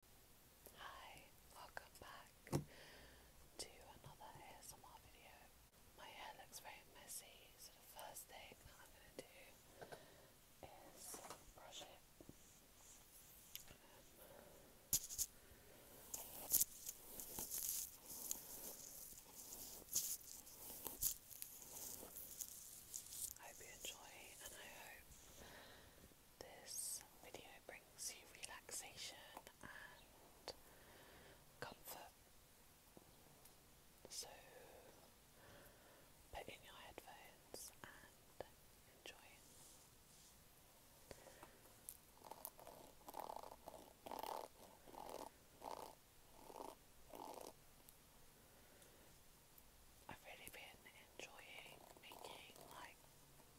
Hi, welcome back to another ASMR video. My hair looks very messy, so the first thing I'm going to do is brush it. I hope you enjoy, and I hope this video brings you relaxation and comfort. So put in your headphones and enjoy I've really been enjoying making like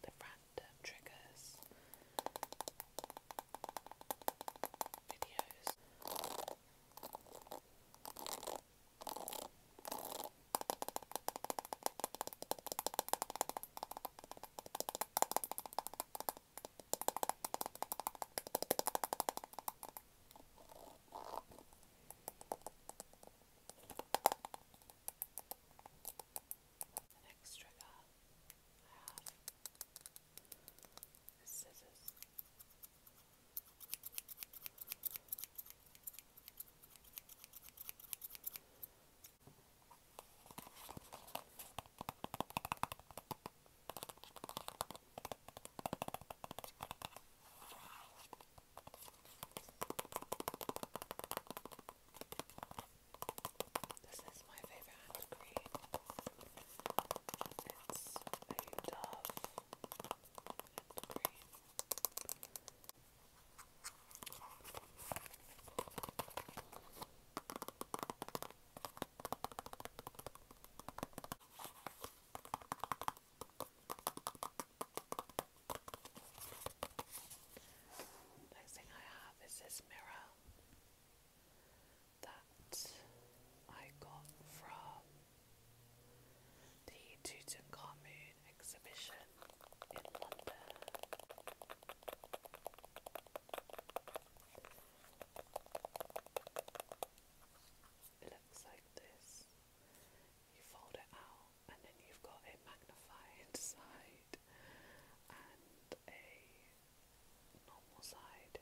the random triggers videos. The next trigger I have is scissors. This is my favorite hand to create. It's a Dove hand cream. I Next thing I have is this mirror that I got from the Tutankhamun exhibition in London. It looks like this. You fold it out and then you've got a magnified side and a normal side.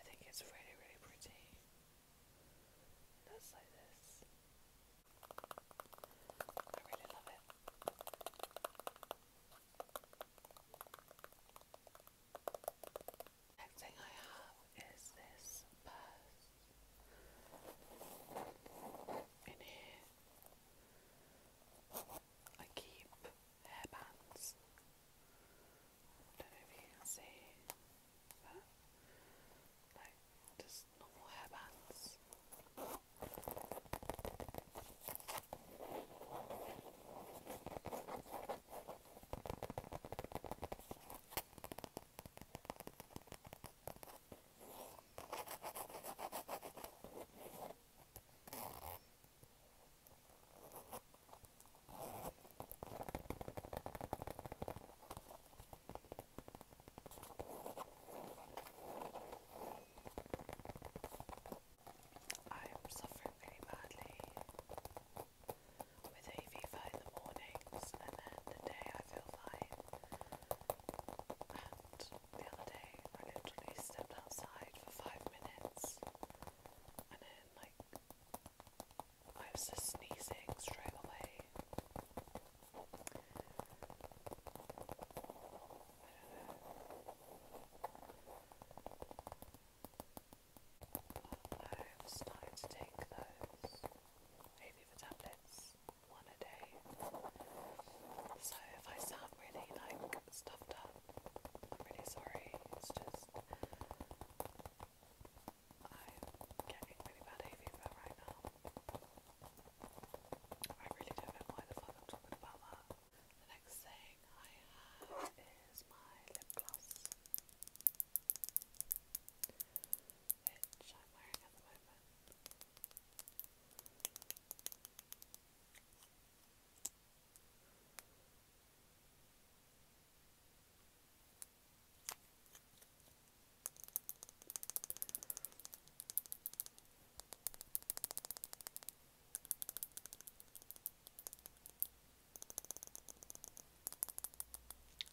I think it's really, really pretty. That's like this. I really love it. Next thing I have is this purse in here. I keep hairbands. Don't know if you can see, but like just normal hairbands. I am suffering very badly with a fever in the mornings, and then the day I feel fine. And the other day, I literally stepped outside for five minutes, and then like I was just sneezing straight away. I'm starting to take those Aviva tablets, one a day. So if I sound really like stuffed up, I'm really sorry. It's just I'm getting really bad hay right now. I really don't know why the fuck I'm talking about that. The next thing I have is my lip gloss which I'm wearing at the moment.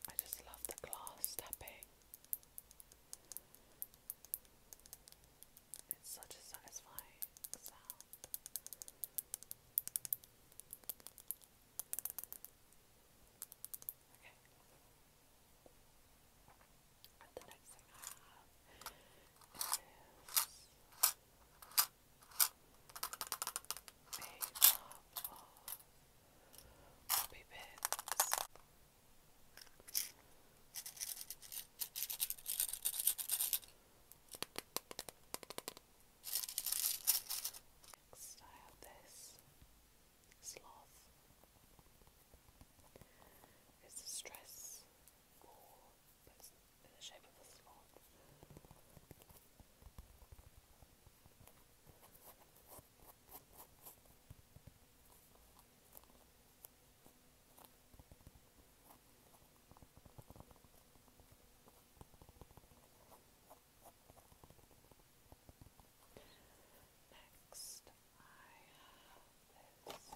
I just love the glass tapping. It's such a satisfying sound. Okay. And the next thing I have is Poppy pins. Next, I have this sloth. It's a stress ball, but it's in the shape of a sloth. Next, I have this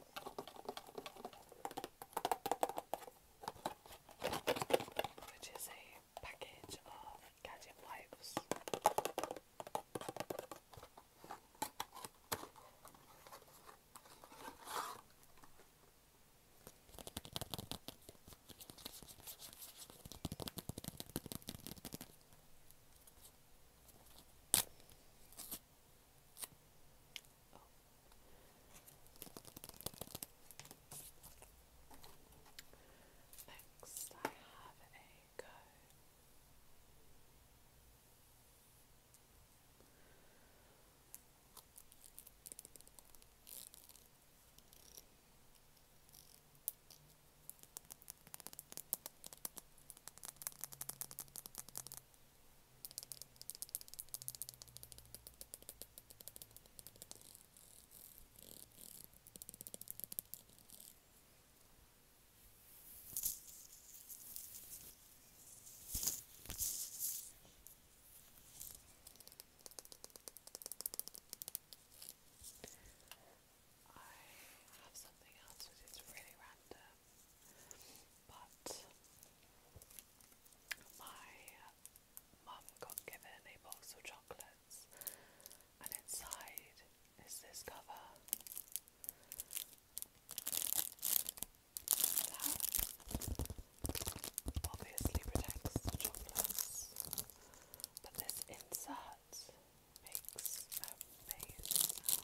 which is a package of gadget wipes. Next, I have a go. I have something else which is really random, but my mum got given a box of chocolates, and inside is this cover. That obviously protects chocolates, but this insert makes amazing sound.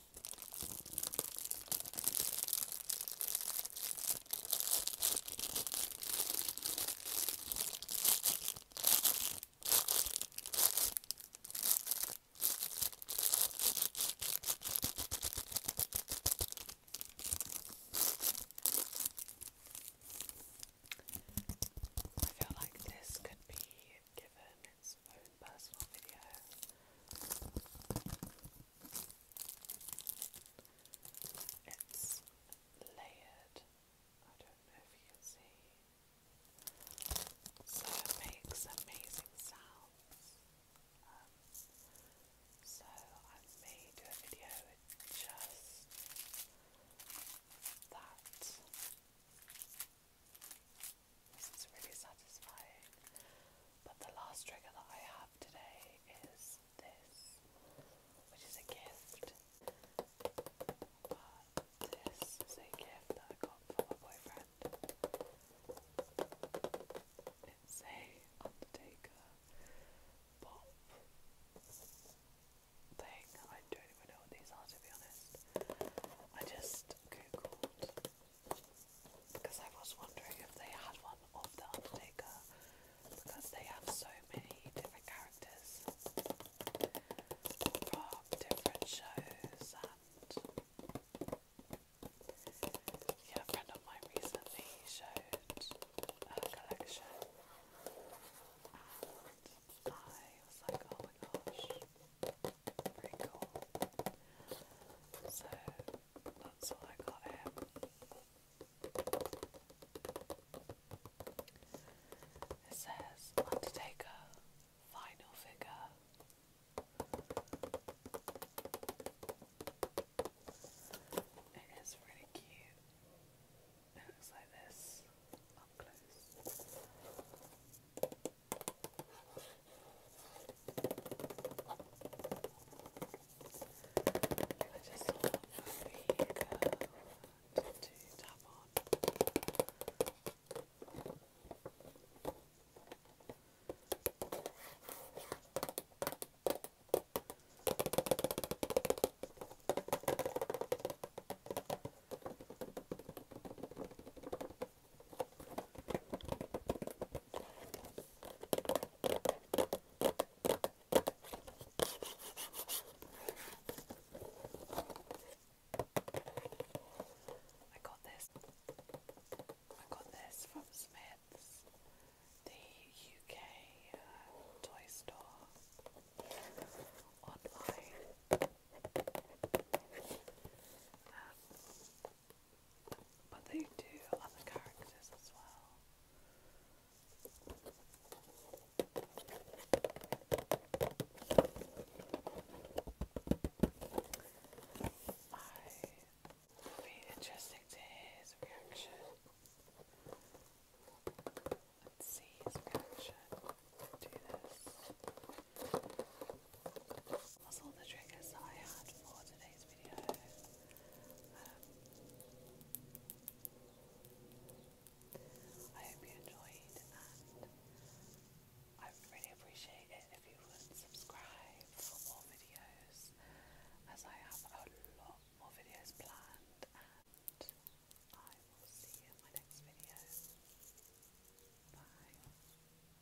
I feel like this could be given his own personal video. It's layered. I don't know if you can see. So it makes amazing sounds. Um, so I may a video just that this is really satisfying. But the last trigger that I have today is this, which is a gift. But this is a gift that I got from my boyfriend. It's a Undertaker pop thing. I don't even know what these are to be honest. I just googled because I was wondering if they had one of the Undertaker because they have so many different characters from different shows and yeah, a friend of mine recently showed her collection and I was like, oh my gosh. Pretty cool. So that's all I got It says Undertaker final figure. It is really cute. It looks like this up close. I just love the curve to tap on. I I got this. I got this from Smith's, the UK uh, toy store online. Um, but they do other characters as well. I would be interesting to his reaction and see his reaction to this. That's all the triggers I had for today's video. Um, I hope you enjoyed and I really appreciate it if you would subscribe for more videos as I have a lot more videos planned and I will see in my next video. Bye.